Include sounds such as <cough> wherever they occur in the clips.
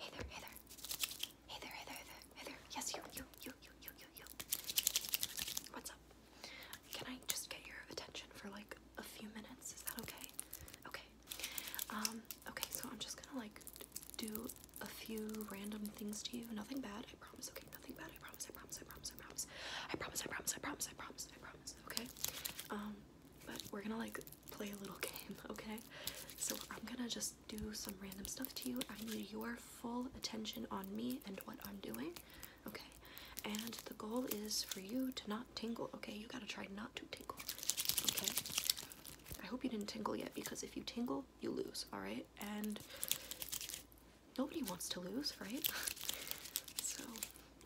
Hey there, hey there. Hey there, hey there, hey there, Yes, you, you, you, you, you, you, you. What's up? Can I just get your attention for like a few minutes? Is that okay? Okay. Um, okay, so I'm just gonna like do a few random things to you. Nothing bad, I promise, okay? Nothing bad, I promise, I promise, I promise, I promise. I promise, I promise, I promise, I promise, I promise, okay? Um, but we're gonna like play a little <laughs> game, okay? So I'm gonna just do some random stuff to you. I need your full attention on me and what I'm doing, okay? And the goal is for you to not tingle, okay? You gotta try not to tingle, okay? I hope you didn't tingle yet because if you tingle, you lose, alright? And nobody wants to lose, right? <laughs> so,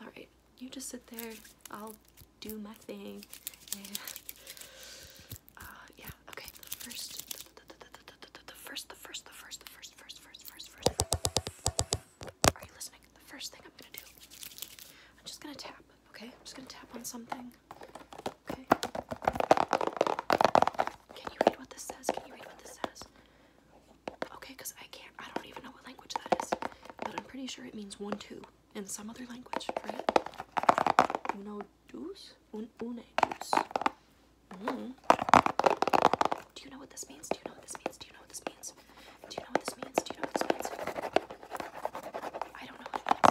alright, you just sit there, I'll do my thing. And uh, yeah, okay, the first, the first, the first, the first, the first, first, first, first, first. Are you listening? The first thing I'm gonna do, I'm just gonna tap, okay? I'm just gonna tap on something. Okay. Can you read what this says? Can you read what this says? Okay, because I can't, I don't even know what language that is, but I'm pretty sure it means one, two in some other language, right? Uno dos? Un une dos. Mm. Do you know what this means? Do you know what this means? Do you know what this means? Do you know what this means? Do you know what this means? I don't know what it means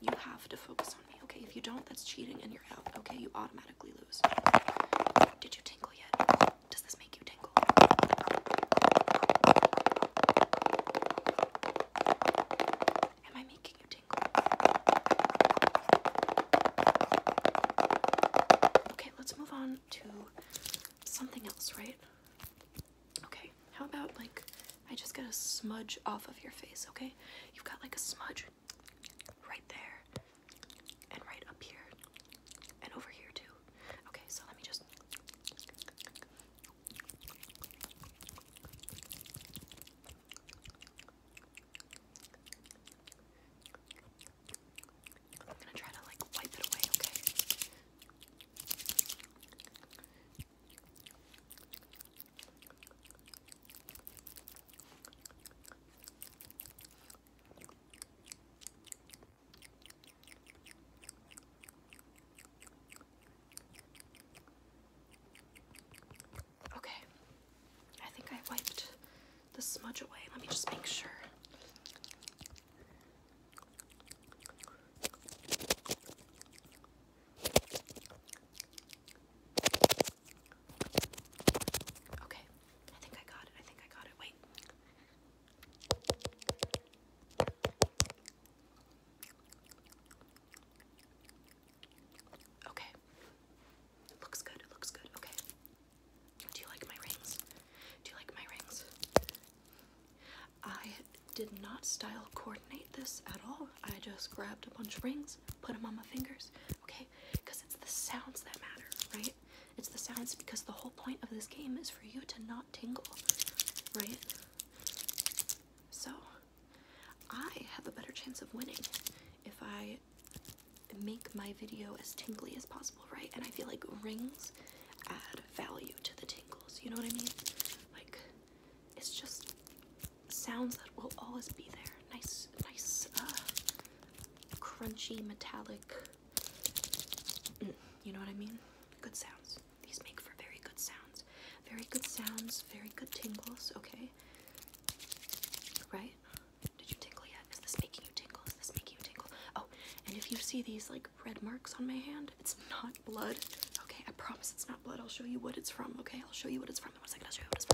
You have to focus on me, okay? If you don't, that's cheating and you're out, okay? You automatically lose. Did you tingle yet? Does this make you tingle? Am I making you tingle? Okay, let's move on to something else, right? Okay, how about like I just got a smudge off of your face, okay? You've got like a smudge right there and right up here and over here too. Okay, so let me just. I'm gonna try to like wipe it away, okay? Okay, I think I wiped the smudge away. Let me just make sure. Okay, I think I got it. I think I got it. Wait. Okay. Looks good. It looks good. Okay. Do you like my rings? Do you like my rings? I did not style coordinate this at all. I just grabbed a bunch of rings, put them on my fingers, okay? Because it's the sounds that matter, right? It's the sounds because the whole point of this game is for you to not tingle, right? So, I have a better chance of winning if I make my video as tingly as possible, right? And I feel like rings add value to the tingles, you know what I mean? Like, it's just sounds that will always be there. Nice, nice, uh, crunchy, metallic. Mm, you know what I mean? Good sounds. These make for very good sounds. Very good sounds, very good tingles, okay? Right? Did you tingle yet? Is this making you tingle? Is this making you tingle? Oh, and if you see these like red marks on my hand. It's not blood. Okay, I promise it's not blood. I'll show you what it's from. Okay, I'll show you what it's from in one second. I'll show you what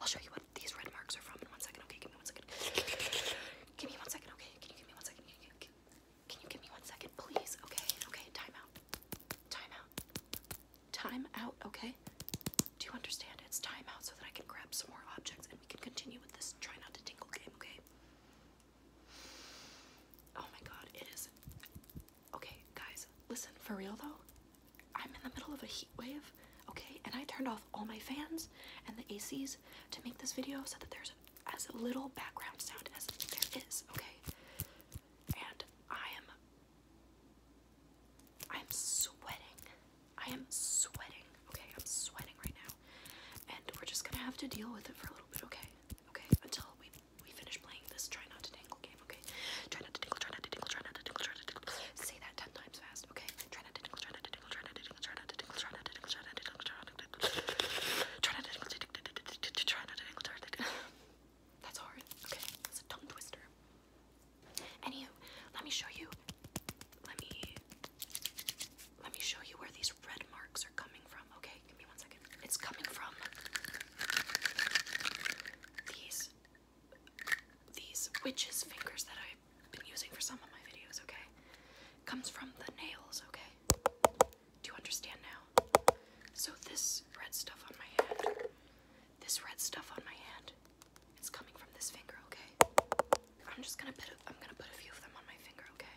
I'll show you what these red marks are from in one second. Okay, give me one second. give me one second. Okay, can you give me one second? can you give me one second, please? Okay, okay, time out. Time out. Time out, okay? Do you understand? It's time out so that I can grab some more objects and we can continue with this try not to tingle game, okay? Oh my god, it is. Okay, guys, listen, for real though, I'm in the middle of a heat wave, okay, and I turned off all my fans and the ACs to make this video so that there's as little background sound as there is, okay? And I am. I'm sweating. I am sweating, okay? I'm sweating right now. And we're just gonna have to deal with it for a little bit, okay? Okay, until we we finish playing this try not to tangle game, okay? Try not to tingle, try not to tingle, try not to tingle, try not to tingle. Say that ten times fast, okay? Try not to tingle, try not to tingle, try not to tingle, try not to tingle, try not to tingle, try not to tingle, try not to tingle, try not to tingle, try not to tingle, That's hard. Okay, that's a tongue twister. Anywho, let me show you. Let me let me show you where these red marks are coming from. Okay, give me one second. It's coming from these these witches' fingers that I've been using for some of my videos, okay? Comes from the nails, okay? Do you understand now? So this red stuff on my hand, this red stuff on my hand, it's coming from this finger, okay? I'm just gonna put am I'm gonna put a few of them on my finger, okay?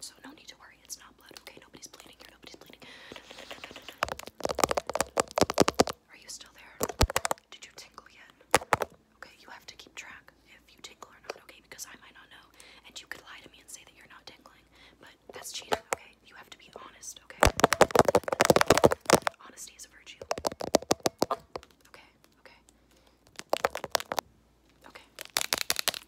So no need to worry, it's not blood. Okay, nobody's bleeding here, nobody's bleeding. Are you still there? Did you tingle yet? Okay, you have to keep track if you tingle or not, okay? Because I might not know. And you could lie to me and say that you're not tingling. But that's cheating, okay? You have to be honest, okay? Honesty is a virtue. Okay, okay. Okay.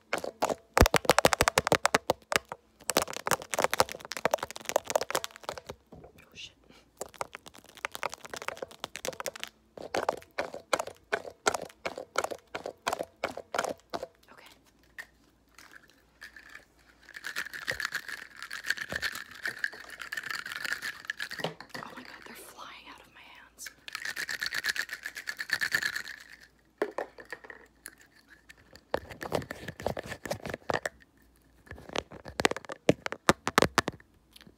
Oh shit. Okay. Oh my god, they're flying out of my hands.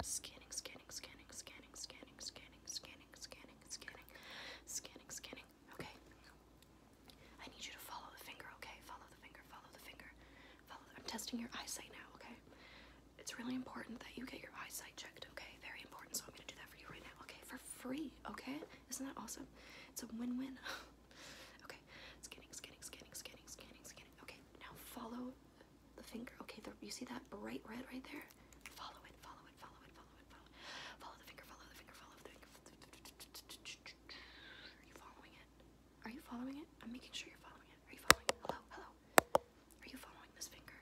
Scanning, scanning, scanning, scanning, scanning, scanning, scanning, scanning, scanning, scanning, scanning. Okay. I need you to follow the finger, okay? Follow the finger, follow the finger. I'm testing your eyesight now, okay? It's really important that you get your eyesight checked, okay? Very important, so I'm gonna do that for you right now, okay? For free, okay? Isn't that awesome? It's a win-win. <sighs> okay, scanning, scanning, scanning, scanning, scanning, scanning. Okay, now follow the finger. Okay, you see that bright red right there? Follow it, follow it, follow it, follow it, follow it. Follow the finger, follow the finger, follow the finger. Are you following it? Are you following it? I'm making sure you're following it. Are you following Hello, hello. Are you following this finger?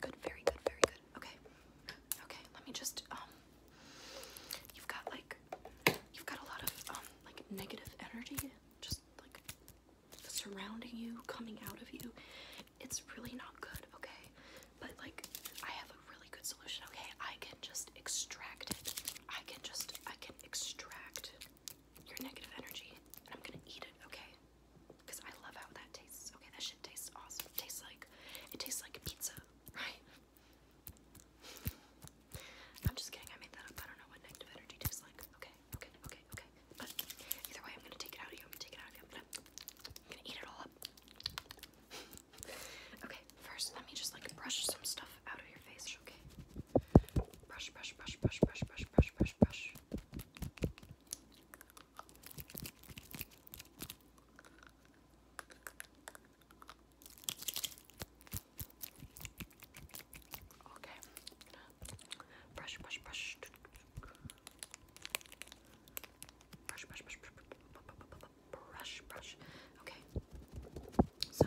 good. very good, very good. Okay. Okay, let me just um, you've got like you've got a lot of um, like negative energy just like surrounding you, coming out of you. It's really not good, okay? But like I have a really good solution, okay? I can just extract it. I can just I can extract your negative energy and I'm gonna eat it, okay? Because I love how that tastes. Okay, that shit tastes awesome. It tastes like it tastes like pizza, right? I'm just kidding, I made that up. I don't know what negative energy tastes like. Okay, okay, okay, okay. But either way, I'm gonna take it out of you. I'm gonna take it out of you. I'm gonna eat it all up. okay, first let me just like brush some stuff out of your face, okay? Brush, brush, brush, brush, brush, brush, brush, brush, brush. Okay. Brush, brush, brush. Brush, brush, brush, brush, brush. Okay. So.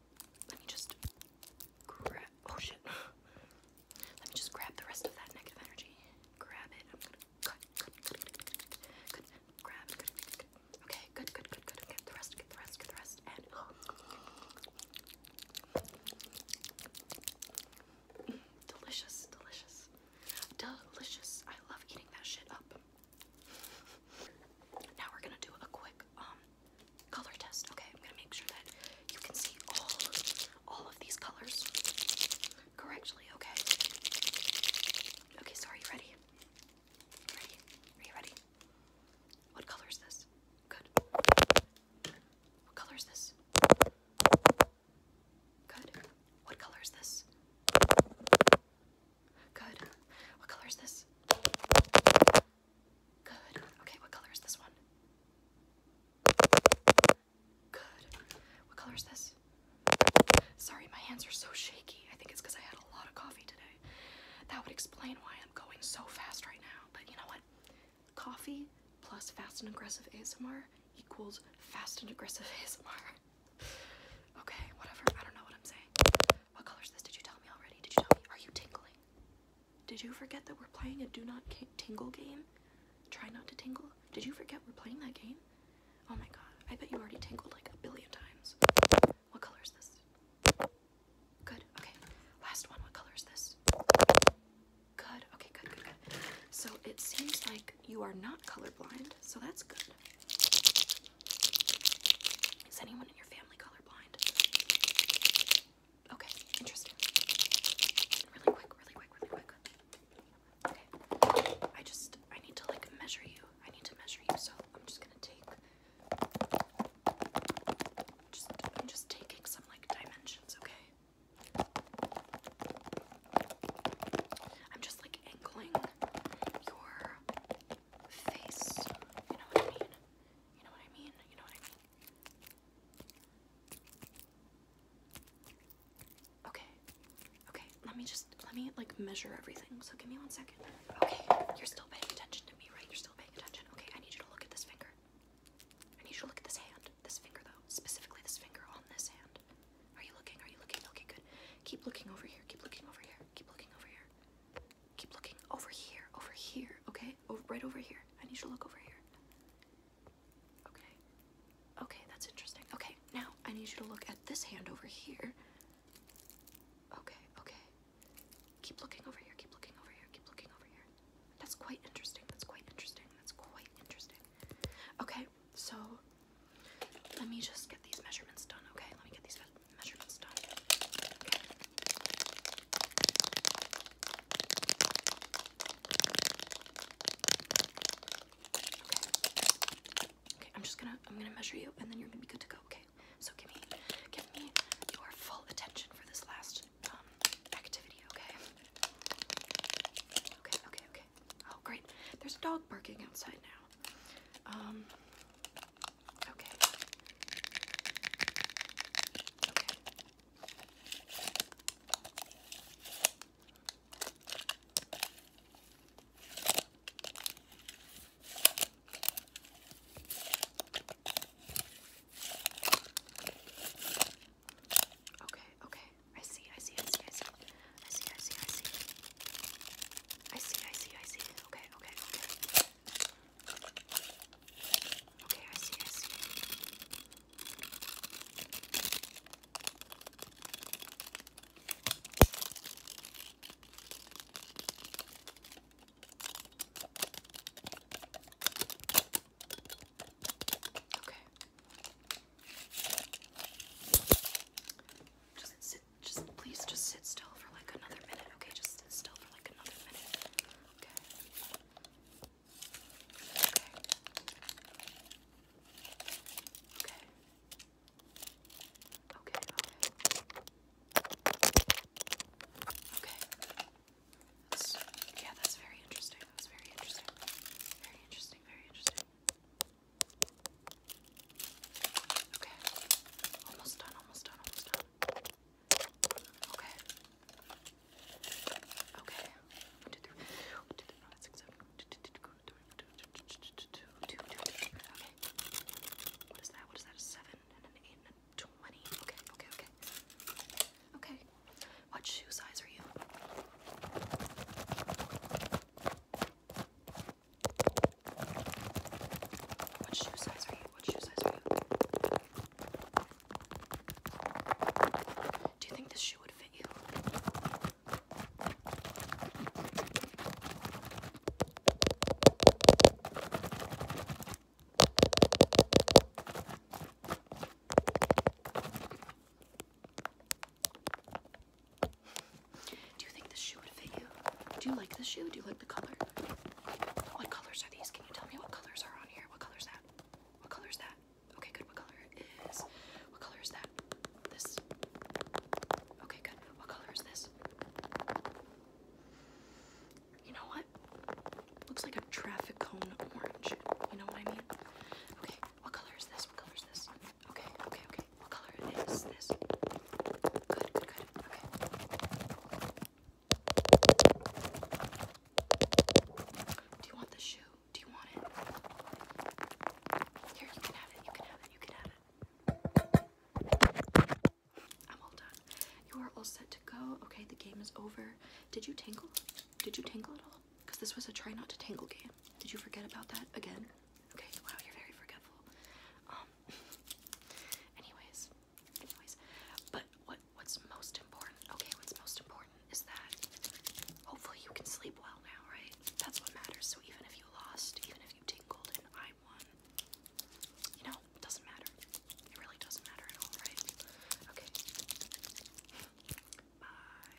let me just grab. Oh shit. Let me just grab the rest of that negative energy. Grab it. I'm gonna cut, cut, cut, good, good, good. Okay, good, good, good, good. Get the rest, get the rest, get the rest, and. <gasps> delicious, delicious, delicious. I love eating that shit up. <laughs> now we're gonna do a quick um, Color test. Okay, I'm gonna make sure that you can see all all of these colors correctly. Okay. Okay. So are you ready? Ready? Are you ready? What color is this? Good. What color is this? Good. What color is this? Good. What color is this? Good. Okay, what color is this one? Good. What color is this? Sorry, my hands are so shaky. I think it's because I had a lot of coffee today. That would explain why I'm going so fast right now. But you know what? Coffee plus fast and aggressive ASMR equals fast and aggressive ASMR. <laughs> Okay, whatever. I don't know what I'm saying. What color is this? Did you tell me already? Did you tell me? Are you tingling? Did you forget that we're playing a do not tingle game? Try not to tingle? Did you forget we're playing that game? Oh my god, I bet you already tingled like a billion times. What color is this? Good, okay. Last one, what color is this? Good, okay, good, good, So it seems like you are not colorblind, so that's good. Is anyone in your family colorblind? Okay, interesting. Really quick, really quick, really quick. Okay. I just I need to like measure you. I need to measure you, so I'm just gonna take just I'm just taking some like dimensions, okay? I'm just like angling your face. You know what I mean? You know what I mean? You know what I mean? Okay. Okay, let me just let me like measure everything. So give me one second. Okay, you're still paying attention to me, right? You're still paying attention. Okay, I need you to look at this finger. I need you to look at this hand. This finger though. Specifically this finger on this hand. Are you looking? Are you looking? Okay, good. Keep looking over here. Keep looking over here. Keep looking over here. Keep looking over here, over here, okay? Over, right over here. I need you to look over here. Okay. Okay, that's interesting. Okay, now I need you to look at this hand over here. Okay, okay. Keep looking over here, keep looking over here, keep looking over here. That's quite interesting, that's quite interesting, that's quite interesting. Okay, so let me just get these measurements done, okay? Let me get these measurements. Okay. Okay. Okay, I'm just gonna I'm gonna measure you and then you're gonna be good to go, okay? So give me give me your full attention for this last um, activity, okay? Okay, okay, okay. Oh great. There's a dog barking outside now. Um Okay. Okay. Okay, okay. I see, I see, I see, I see. I see, I see, I see. I see, I see, I see. Okay, okay, okay. Okay, I see, I see. Okay. Just sit just please just sit still for like another minute, okay? Just sit still for like another minute. Okay. Okay. Okay. Okay, yeah, that's very interesting. That's very interesting. Very interesting, very interesting. Okay. Almost done, almost done, almost done. Okay. Okay. One, two, three. One, two, three, five, six, seven. Okay. What is that? What is that? A seven and an eight and a twenty. Okay, okay, okay. Okay. What shoe size are you? What shoe size are you? What shoe size are you? Do you think this shoe would fit you? Do you think this shoe would fit you? Do you like the shoe? Do you like the color? What colors are these? Can you tell me what colors are on here? What color is that? What color is that? Okay, good. What color is? What color is that? This. Okay, good. What color is this? You know what? Looks like a traffic cone orange. You know what I mean? Okay, what color is this? What color is this? Okay, okay, okay. What color is this? Good, good, good. Okay. Do you want the shoe? Do you want it? Here, you can have it. You can have it. You can have it. I'm all done. You are all set to go. Okay, the game is over. Did you tangle? Did you tangle at all? Because this was a try not to tangle game. Did you forget about that again? Okay, wow, you're very forgetful. Um <laughs> anyways, anyways. But what what's most important? Okay, what's most important is that hopefully you can sleep well now, right? That's what matters. So even if you lost, even if you tingled and I won, you know, doesn't matter. It really doesn't matter at all, right? Okay. Bye.